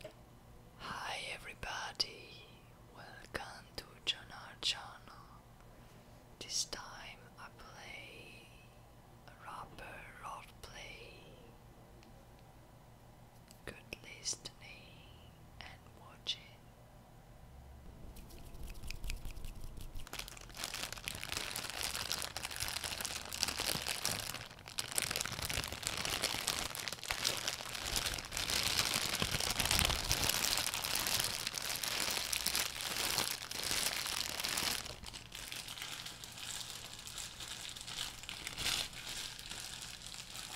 John Hi everybody, welcome to John channel. This time I play a rapper roleplay good listening and watching.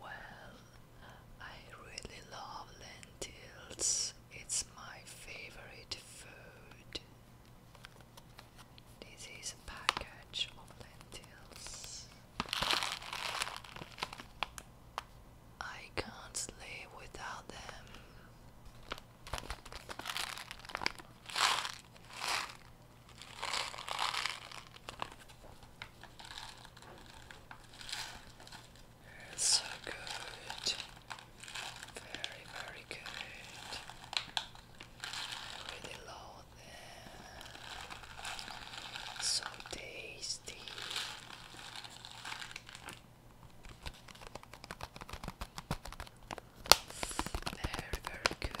Well, I really love lentils. It's my favorite food. This is a package of lentils. I can't live without them. It's so good. Very, very good. Really low there. So tasty. Very, very good.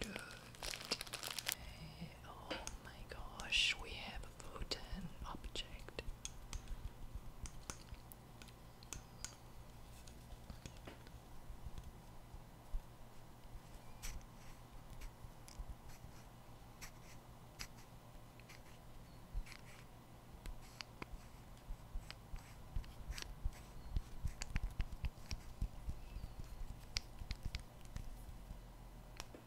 Good. Oh my gosh, we have floating object.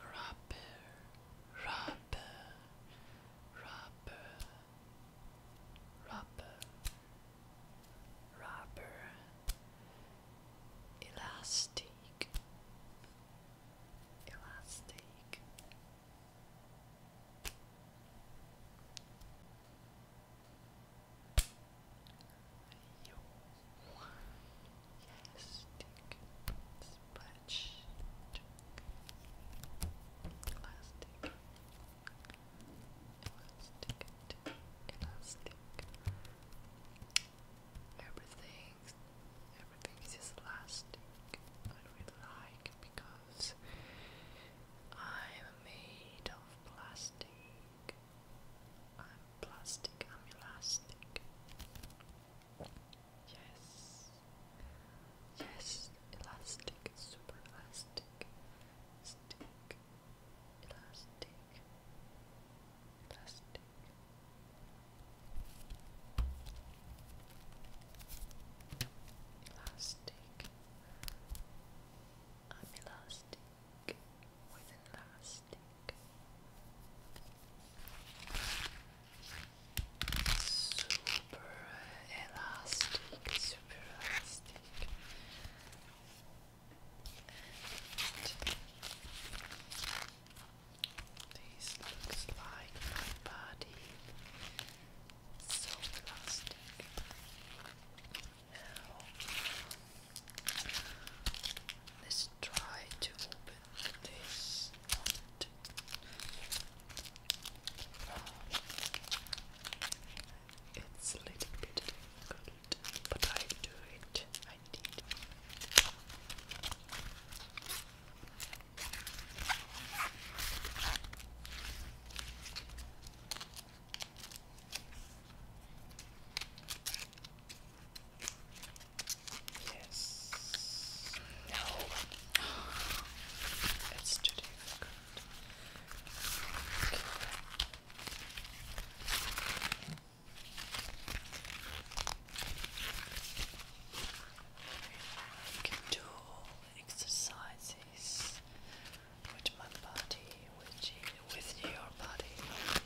Rubber, rubber, rubber, rapper, rapper, elastic, elastic. Yes, stick, splash, elastic, elastic, elastic. Everything, everything is elastic. I like because I'm made of plastic. I'm plastic, I'm elastic. Yes. Yes. Elastic. Super elastic. Stick. Elastic. Elastic. Elastic. am elastic with an stick. Super elastic, super elastic. this looks like my body. So elastic. Let's try to open this. It's a little bit difficult, but I do it. I did. Yes. No. It's too difficult. Okay. I can do exercises with my body, with, with your body.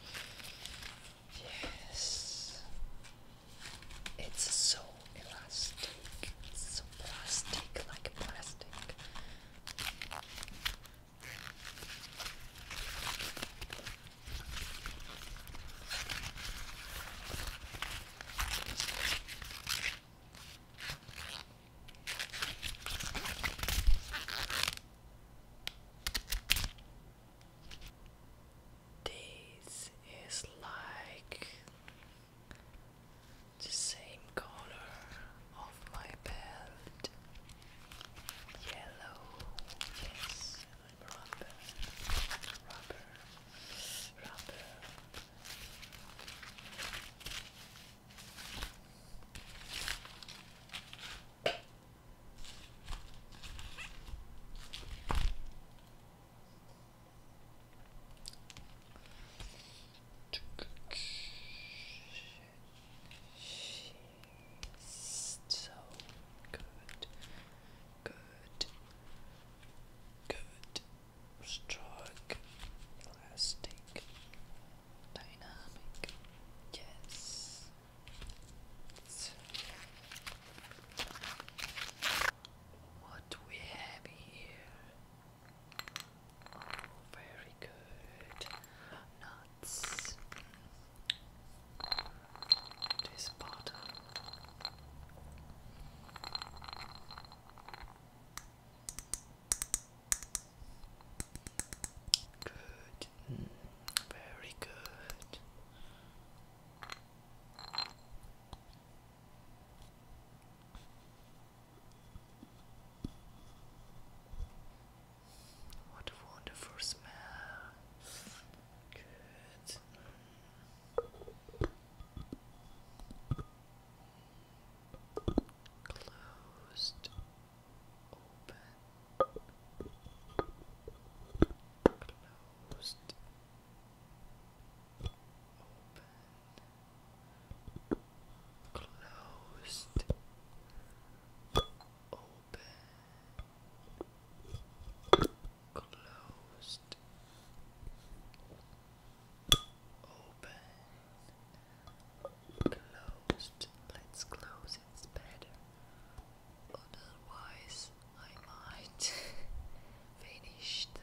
Yes. It's so elastic. so plastic, like plastic. This is like the same color of my belt. Yellow, yes, rubber, rubber, rubber so good, good, good, strong, elastic, dynamic. Yes, what do we have here? Oh, very good. Nuts. This bottle. Good. Mm, very good. What a wonderful smell. Good. Closed. Open. Closed. Open. Closed. Open. Closed. Open. Closed. Let's close it better otherwise I might finish them.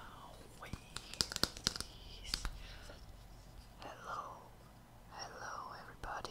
Oh, wait, Hello, hello, everybody.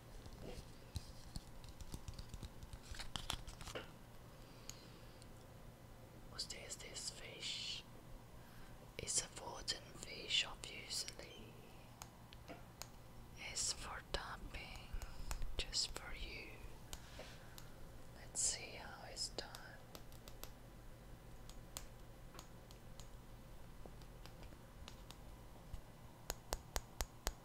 What is this fish? It's a wooden fish, obviously. It's for dumping, just for you. Let's see how it's done.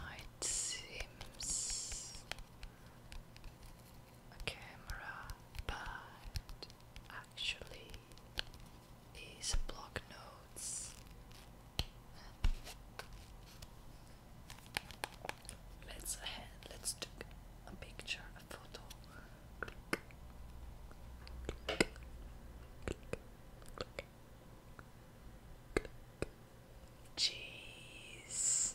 Might seems a camera, but actually these block notes. Let's ahead. Let's take a picture, a photo. Jeez.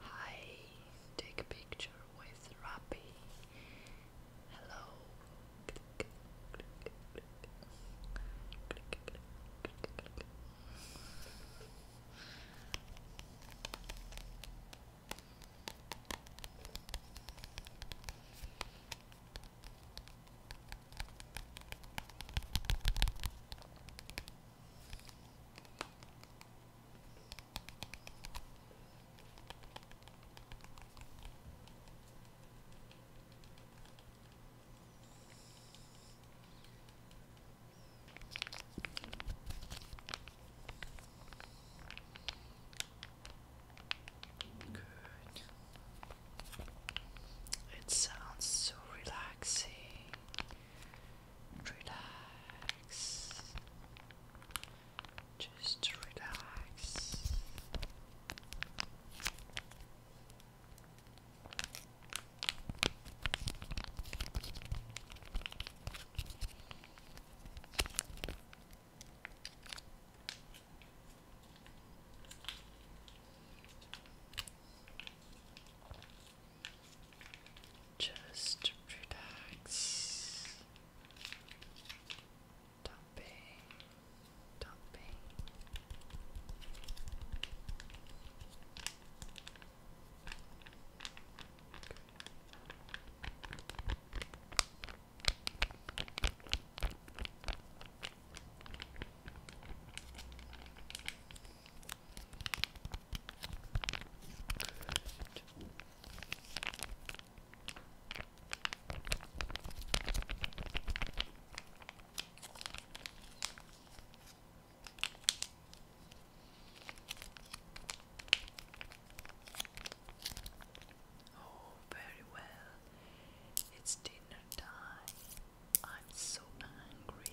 Hi, take picture with Rappy. Hello. Good. It sounds so relaxing. Relax. Just relax. Just relax. Dumping, dumping. Oh, very well. It's dinner time. I'm so hungry.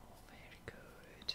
Oh, very good.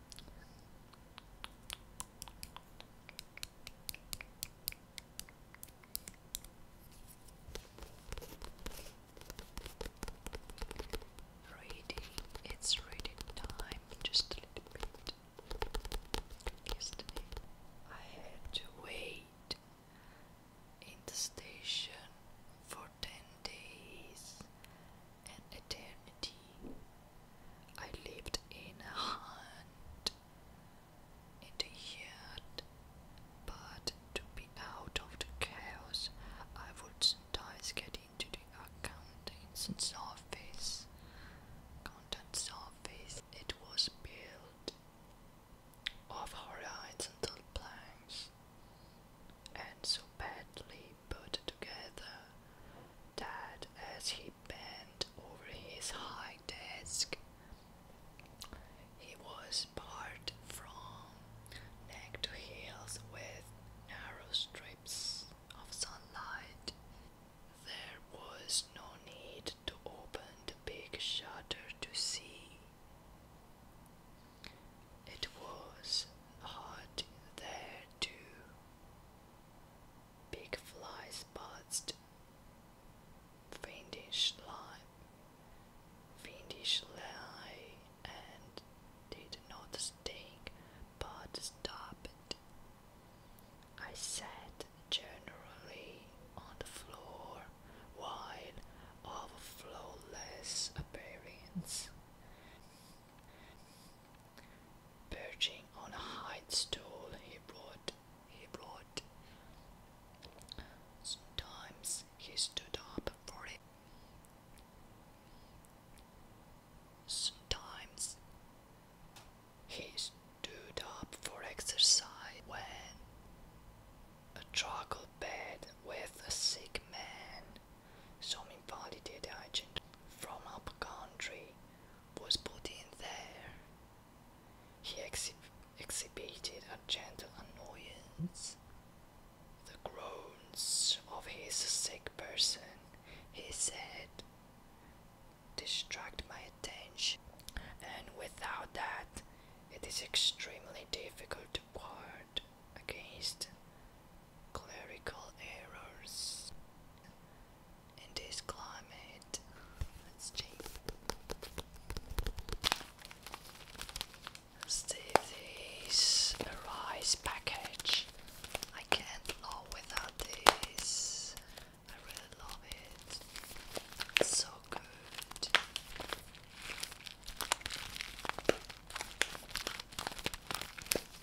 Reading, it's reading time, just a little bit. I had to wait in the station for 10 days and eternity. I lived in a hunt, in the yard, but to be out of the chaos, I would sometimes get into the accountant's office. Accountant's office. It was built of horizontal planks and so badly put together that as he bent over his high desk, he was barred from neck to heels with narrow strips of sunlight. There was no need to open the big shutter to see. It was hot there too, Big flies buzzed. Vindish lie, Vindish lie, and did not sting, but stopped. I sat generally on the floor, wide, of flawless appearance. Perching on a high stool, he brought, he brought. Sometimes he stood up for Sometimes he stood up for exercise when a charcoal bed with a sick man some invalid agent from up country was put in there. He exhibited a gentle annoyance. The groans of his sick person, he said, distract my attention, and without that, it is extremely difficult to work against clerical errors in this climate. Let's see. this rice package. I can't live without this. I really love it. so good.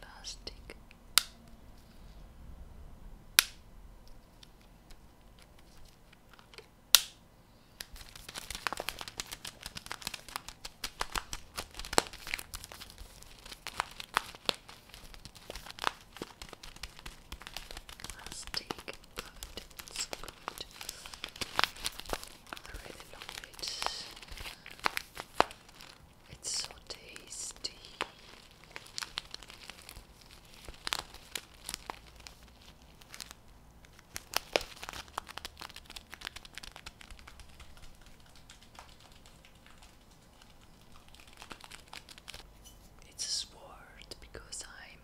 Plastic. Plastic it's good. I really It's so tasty. It's a sword because I'm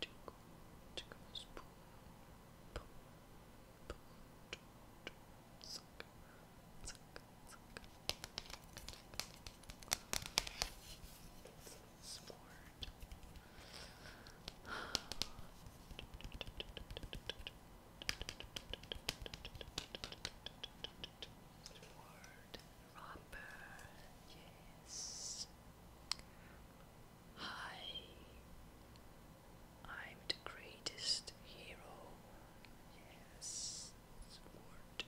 tickle, tickle Sword. Robber. Yes. Hi, I'm the greatest hero. Yes, sword.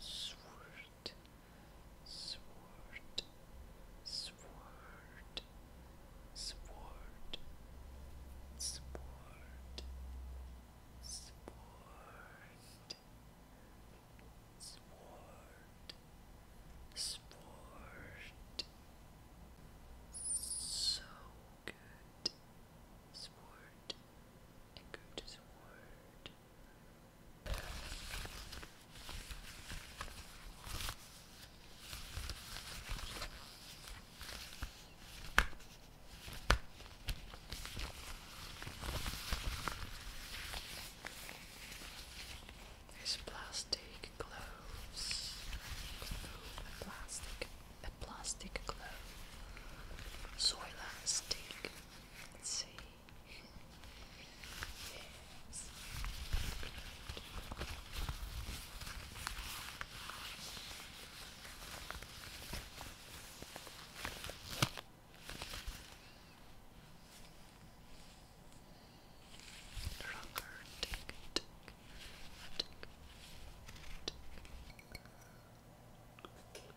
Sword, sword, sword, sword, sword, sword, sword, sword. So good. Sword and go to sword. There's plastic gloves. plastic, plastic glove. Soil and Let's see. Yes. Longer, tick, tick, tick, tick.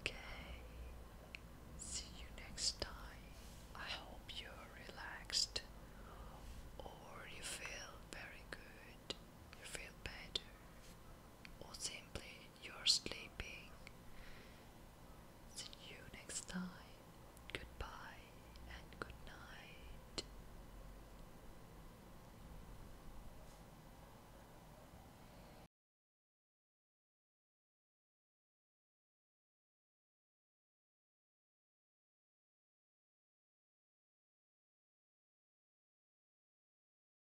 Okay, see you next time. I hope you're relaxed or you feel very good, you feel better, or simply you're sleeping. See you next time. Goodbye and good